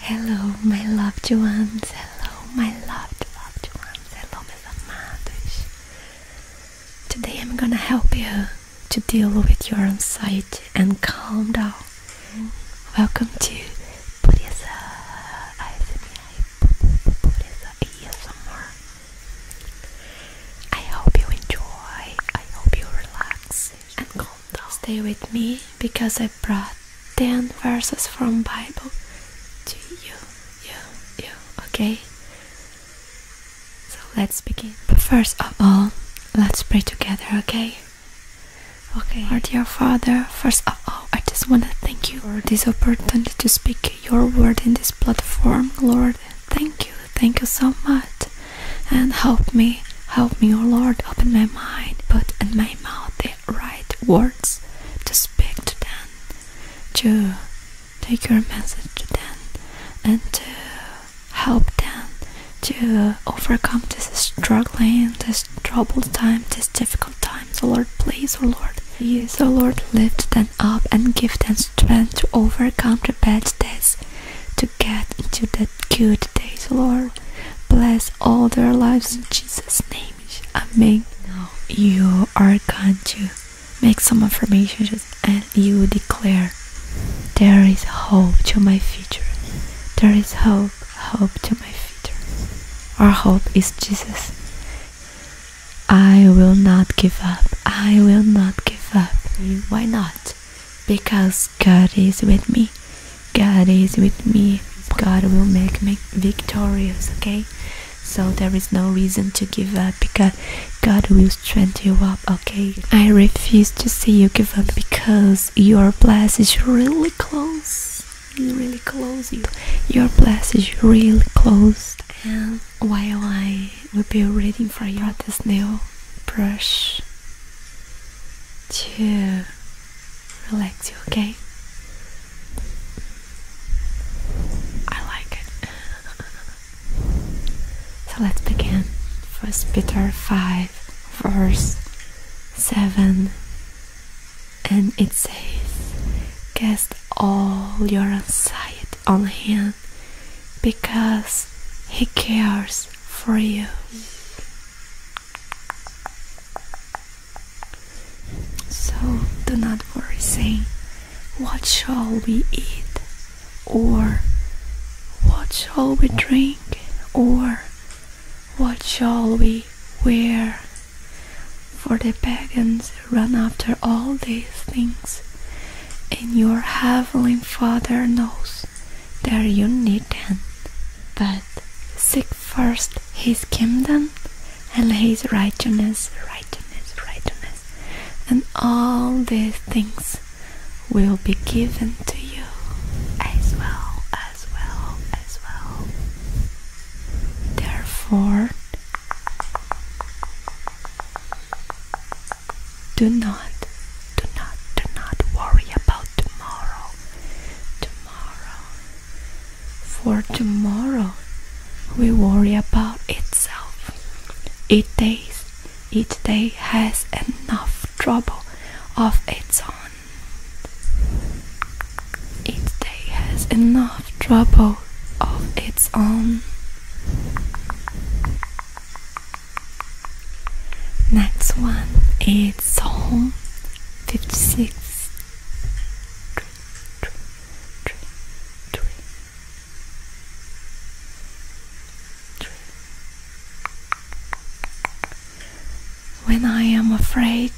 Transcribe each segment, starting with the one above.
Hello, my loved ones. Hello, my loved, loved ones. Hello, meus amados. Today I'm gonna help you to deal with your anxiety and calm down. Welcome to I hope you enjoy. I hope you relax and calm. Stay with me because I brought 10 verses from Bible to you, you, you, okay? So let's begin. But first of all, let's pray together, okay? Okay. Lord, dear Father, first of all, I just want to thank you for this opportunity to speak your word in this platform, Lord. Thank you, thank you so much and help me, help me, O Lord, open my mind, put in my mouth the right words to speak to them, to take your message to them, and to help them to overcome this struggling, this troubled time, this difficult time. So Lord, please, O Lord, yes, O Lord, lift them up and give them strength to overcome the bad days to get into that good days, Lord. Bless all their lives in Jesus' name. Amen. Now you are going to make some affirmations and you declare there is hope to my future. There is hope, hope to my future. Our hope is Jesus. I will not give up. I will not give up. Why not? Because God is with me. God is with me. God will make me victorious, okay? So there is no reason to give up because God will strengthen you up, okay? I refuse to see you give up because your blessing is really close. Really close Your blessing is really close and while I will be waiting for your this new brush to relax you, okay? I like it. so let's begin. First Peter 5, verse 7, and it says, Cast all your anxiety on him because he cares for you. So do not worry saying, What shall we eat? or What shall we drink? or What shall we wear? For the pagans run after all these things, and your heavenly Father knows that you need them. But seek first His kingdom and His righteousness, righteousness, righteousness, and all these things will be given to you as well, as well, as well. Therefore, do not, do not, do not worry about tomorrow. Tomorrow. For tomorrow we worry about itself. Each day, each day has enough trouble of its own. Each day has enough trouble of its own. Next one is Psalm 56. When I am afraid,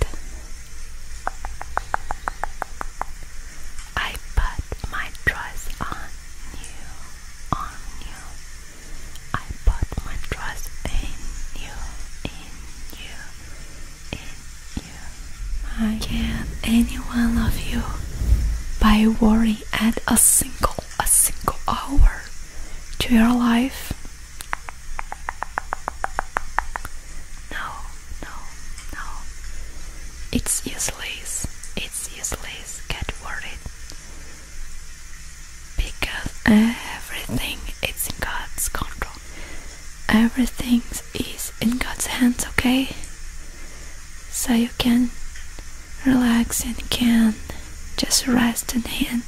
I put my trust on you, on you. I put my trust in you, in you, in you. I can't any one of you by worrying at a single, a single hour to your life. No, no, no. It's useless. It's useless. Get worried. Because everything is in God's control. Everything is in God's hands, okay? So you can relax and can just rest in Him.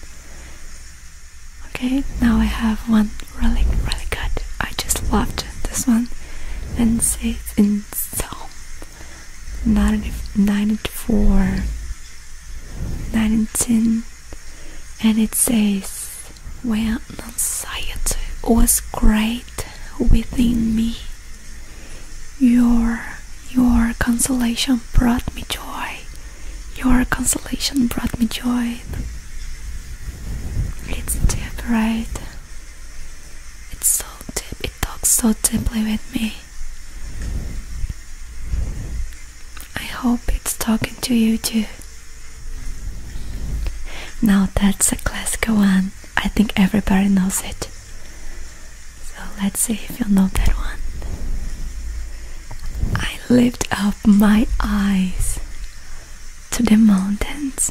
Okay, now I have one really, really good. I just loved this one, and says in Psalm 94, 19, and it says, When anxiety was great within me, your your consolation brought me joy. Your consolation brought me joy. It's deep, right? It's so deep, it talks so deeply with me. I hope it's talking to you too. Now that's a classical one. I think everybody knows it. So let's see if you know that one. I lived up my eyes to the mountains.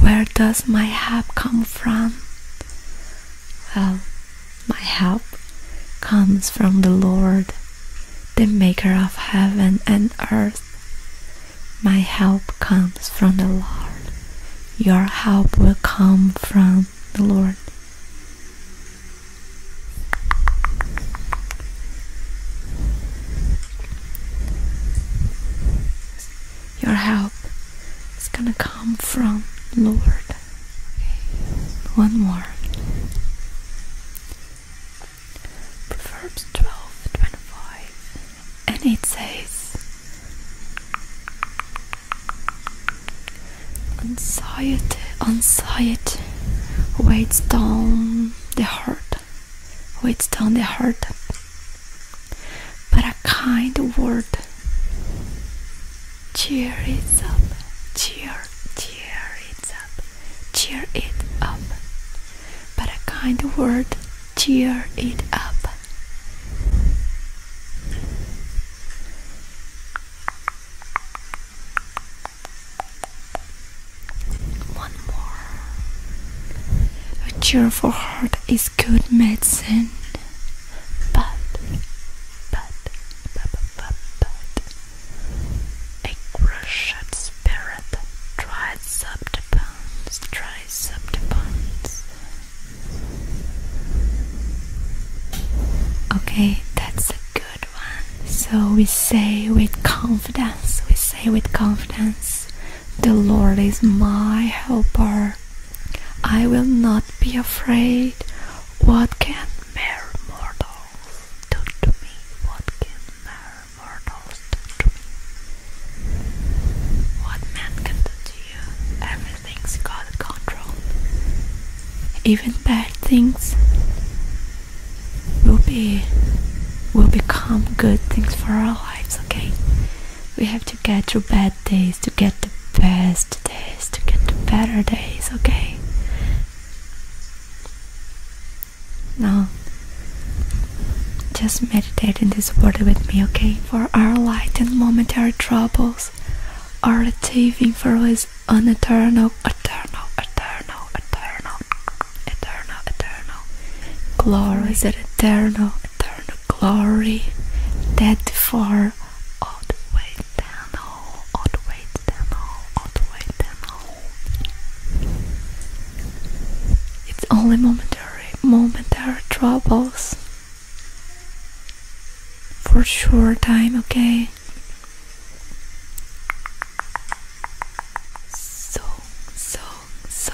Where does my help come from? Well, my help comes from the Lord, the maker of heaven and earth. My help comes from the Lord. Your help will come from the Lord. Your help is gonna come from Lord. One more. Proverbs 12 and it says, Anxiety, anxiety weighs down the heart, weighs down the heart. But a kind word cheer it up, cheer, cheer it up, cheer it up. But a kind word cheer it up. One more. A cheerful heart is good medicine. But, but, but, but, but, a crushed spirit dries up the bones, dries up the bones. Okay, that's good one. So we say with confidence, we say with confidence, The Lord is my helper. I will not be afraid. What can mere mortals do to me? What can mere mortals do to me? What man can do to you? things God. control. Even bad things will be will become good things for our lives, okay? We have to get through bad days to get the best days, to get the better days, okay? Now just meditate in this word with me, okay? For our light and momentary troubles us are achieving for us an eternal, eternal, eternal, eternal, eternal, eternal glory, that eternal, eternal glory that for all the way down, all, all the way down, all, all the way down. It's only momentary, momentary troubles for sure time, okay? So, so, so,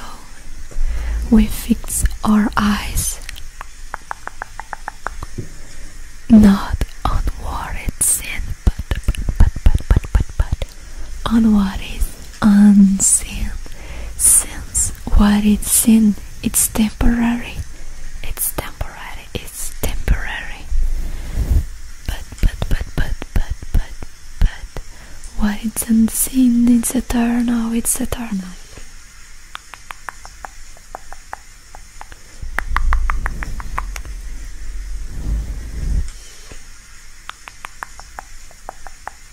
we fix our eyes not on what it's seen, but, but, but, but, but, but, but on what is unseen, since what it's in. It's temporary. It's temporary. It's temporary. But but but but but but but what it's unseen. It's eternal. It's eternal.